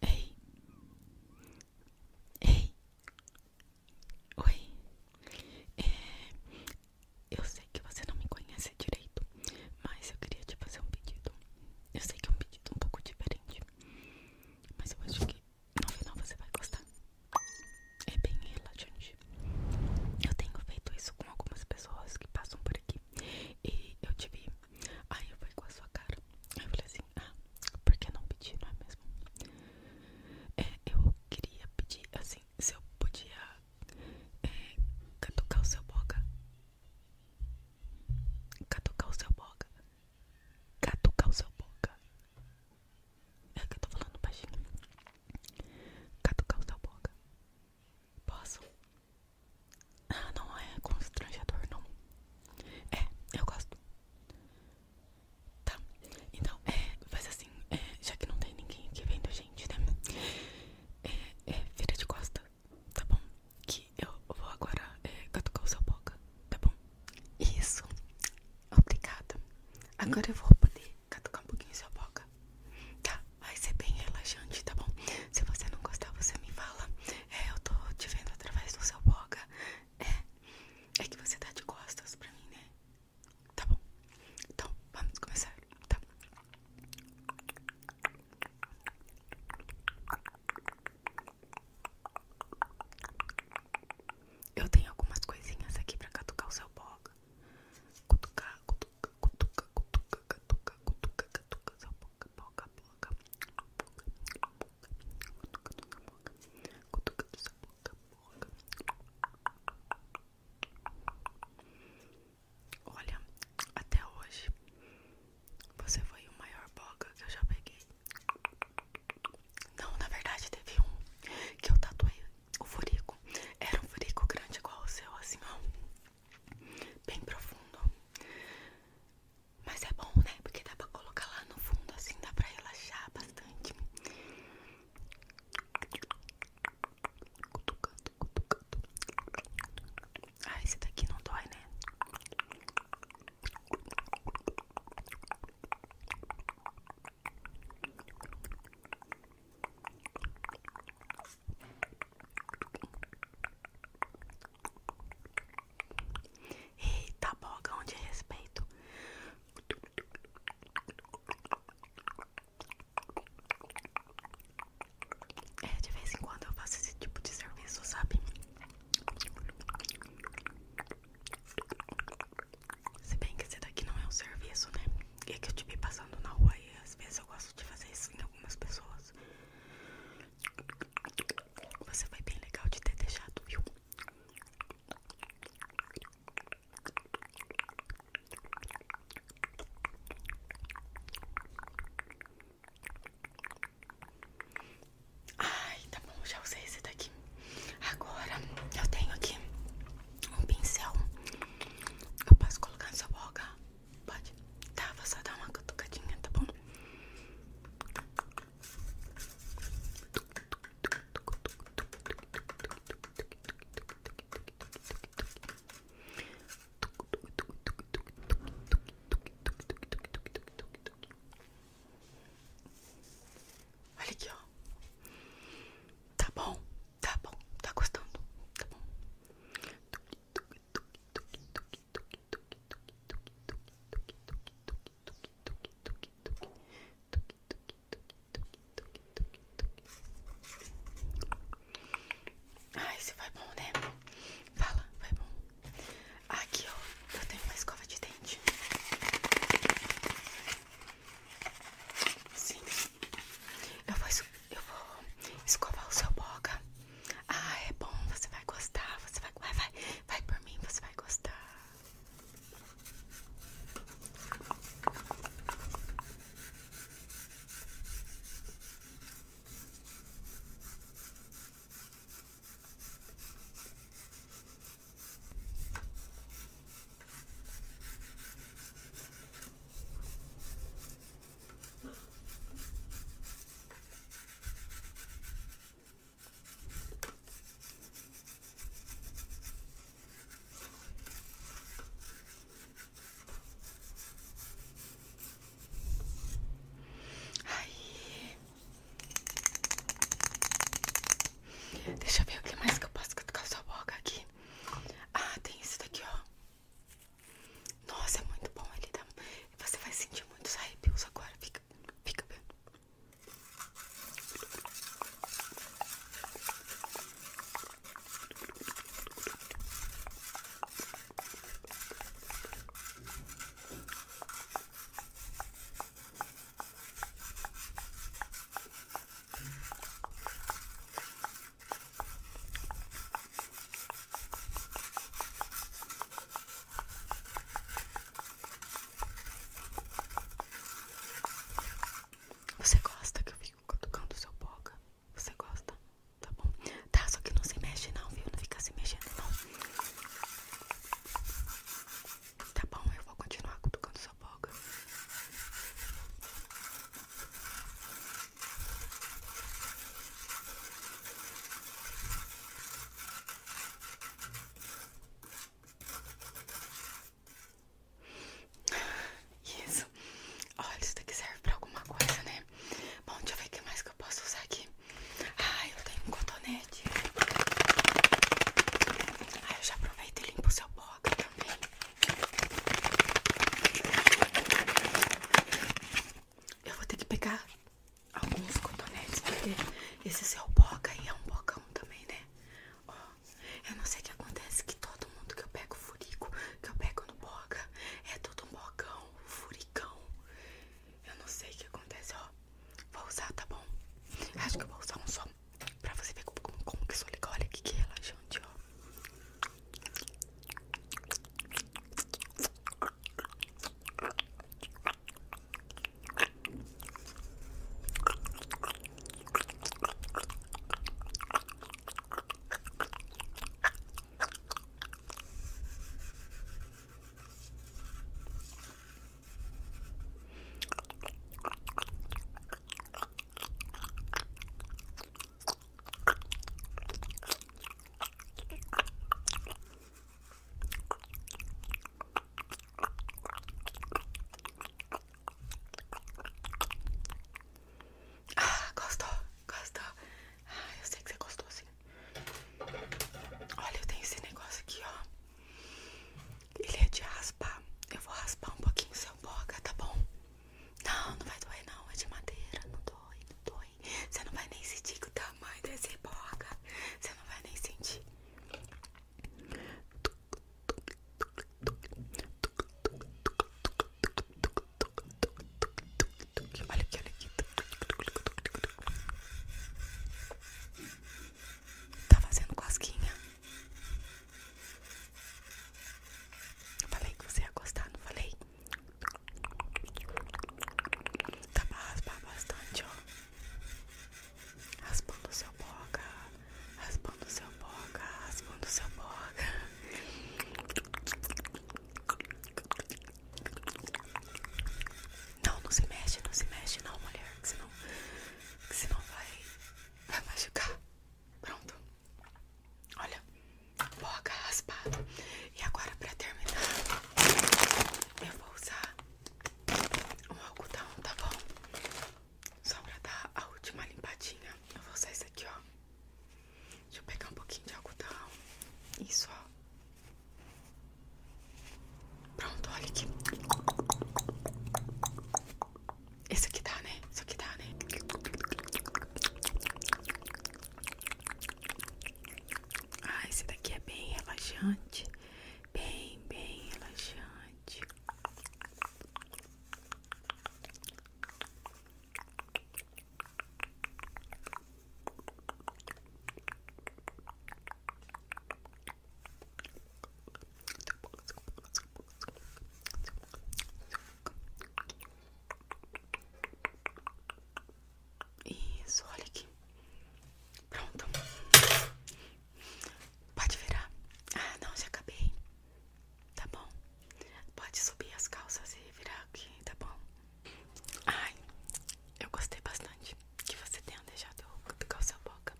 Ei, ei, oi. É, eu sei que você não me conhece direito, mas eu queria te fazer um pedido. Eu sei que é um pedido um pouco diferente, mas eu acho que no final você vai gostar. É bem relaxante. Eu tenho feito isso com algumas pessoas que passam por aqui e eu tive Aí eu fui com a sua cara. Aí eu falei assim: ah, por que não pedir, não é mesmo? É, eu queria pedir, assim, se eu podia é, catucar o seu boga. Catucar o seu boga. Catucar o seu boga. É que eu tô falando baixinho. Catucar o seu boga. Posso? Ah, não é constrangedor, não. É, eu gosto. Tá, então, é, faz assim, é, já que não tem ninguém aqui vendo gente, né? É, é, vira de costa, tá bom? Que eu vou agora é, catucar o seu boca, tá bom? Isso, obrigada. Agora eu vou poder catucar um pouquinho sua boca. Tá, vai ser bem relaxante, tá bom? Se você não gostar, você me fala. É, eu tô te vendo através do seu boga. É, é que você tá de costas pra mim, né? Tá bom. Então, vamos começar. Tá. Eu tenho algumas coisinhas aqui pra catucar o seu boga. Cutucar, cutucar, cutucar, cutucar, cutucar, cutucar, cutucar, seu boca, boca, boca, cutucando sua boca, cutucando sua boca, boca. Olha, até hoje você foi o maior boca que eu já peguei. Não, na verdade teve um que eu tatuei o furico. Era um furico grande igual o seu, assim, ó bem profundo. Mas é bom, né? Porque dá pra colocar lá no fundo, assim dá pra relaxar bastante. Cutucando, cutucando. Ah, esse daqui não dói, né? Eita, bogão de é respeito. É, de vez em quando eu faço esse tipo de serviço, sabe? Se bem que esse daqui não é um serviço, né? É que eu te vi passando na rua e às vezes eu gosto de fazer isso em então algumas pessoas. Você foi bem legal de ter deixado, viu? Ai, tá bom, já usei esse daqui. Agora eu tenho aqui um pincel. Eu posso colocar na sua boca. Pode? Tá, vou só dar uma cutucadinha, tá bom? Olha aqui, ó. Tá bom. Tá bom, tá gostando? Tá bom. Ai, se vai bom, né? Fala, vai bom. Aqui, ó, eu tenho uma escova de dente. Sim. Eu vou, eu vou escovar o seu boca. Ah, é bom. Você vai gostar. Você vai, vai, vai, vai por mim. Você vai gostar. Aí. Deixa eu ver o que mais que eu posso cutucar sua boca aqui. Ah, tem esse daqui, ó. Nossa, é muito bom. Ele dá... Tá? Você vai sentir muitos arrepios agora. Fica, fica vendo. Você gosta que eu fico cutucando seu boca? Você gosta? Tá bom? Tá, só que não se mexe não, viu? Não fica se mexendo não. Tá bom, eu vou continuar cutucando o seu isso. Olha, isso daqui serve pra alguma coisa, né? Bom, deixa eu ver o que mais que eu posso usar aqui. Ah, eu tenho um cotonete. Ah, eu já aproveito e limpo o seu boca também. Eu vou ter que pegar alguns cotonetes, porque esse é o boca e é um bocão também, né? Ó, eu não sei o que acontece, que todo mundo que eu pego furico, que eu pego no boca, é todo um bocão, furicão. Eu não sei o que acontece, ó. Vou usar, tá bom? Acho que eu vou usar um só Pra você ver como, como, que sou legal. Olha que, que relaxante, ó. Ah, gostou, gostou. Ah, eu sei que você gostou, sim. Olha, eu tenho esse negócio aqui, ó. Ele é de raspar. Eu vou raspar um pouquinho seu boga, tá bom? Não, não vai doer não, é de madeira, não dói, não dói. Você não vai nem sentir o tamanho desse boga, Você não vai nem sentir. Olha aqui, olha aqui. Tá fazendo cosquinha. Falei que você ia gostar, não falei? tá pra raspar bastante, ó. Raspando o seu boca, raspando o seu boca, raspando o seu boca. Não, não se mexe, não se mexe, não, mulher. Senão que não vai, vai machucar. Pronto. Olha, boca raspado. E agora pra terminar, eu vou usar um algodão, tá bom? Só pra dar a última limpadinha. Eu vou usar isso aqui, ó. Deixa eu pegar um pouquinho de algodão. Isso, ó. Pronto, olha aqui. Esse aqui dá, né? Isso aqui dá, né? Ah, esse daqui é bem relaxante. Bem, bem relaxante. Isso, olha aqui. Pronto. Pode virar. Ah, não, já acabei. Tá bom. Pode subir as calças e virar aqui, tá bom? Ai, eu gostei bastante que você tenha deixado eu com sua boca.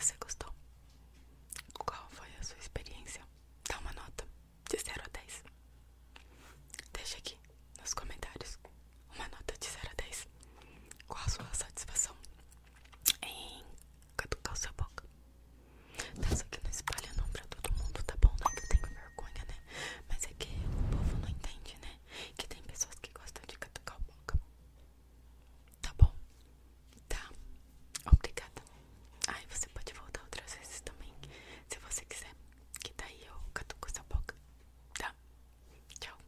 Você gostou? Qual foi a sua experiência? Dá uma nota de 0 a 10. Deixa aqui nos comentários uma nota de 0 a 10. Qual a sua satisfação em caducar sua boca? Tá, só que não espalha não pra todo mundo, tá bom? Não né? que eu tenho vergonha, né? Mas é que o povo não entende, né? Que tem pessoas que gostam de catucar o boca. Tá bom? Tá. Obrigada. Aí ah, você pode voltar outras vezes também, se você quiser. Que daí eu catuco sua boca. Tá? Tchau.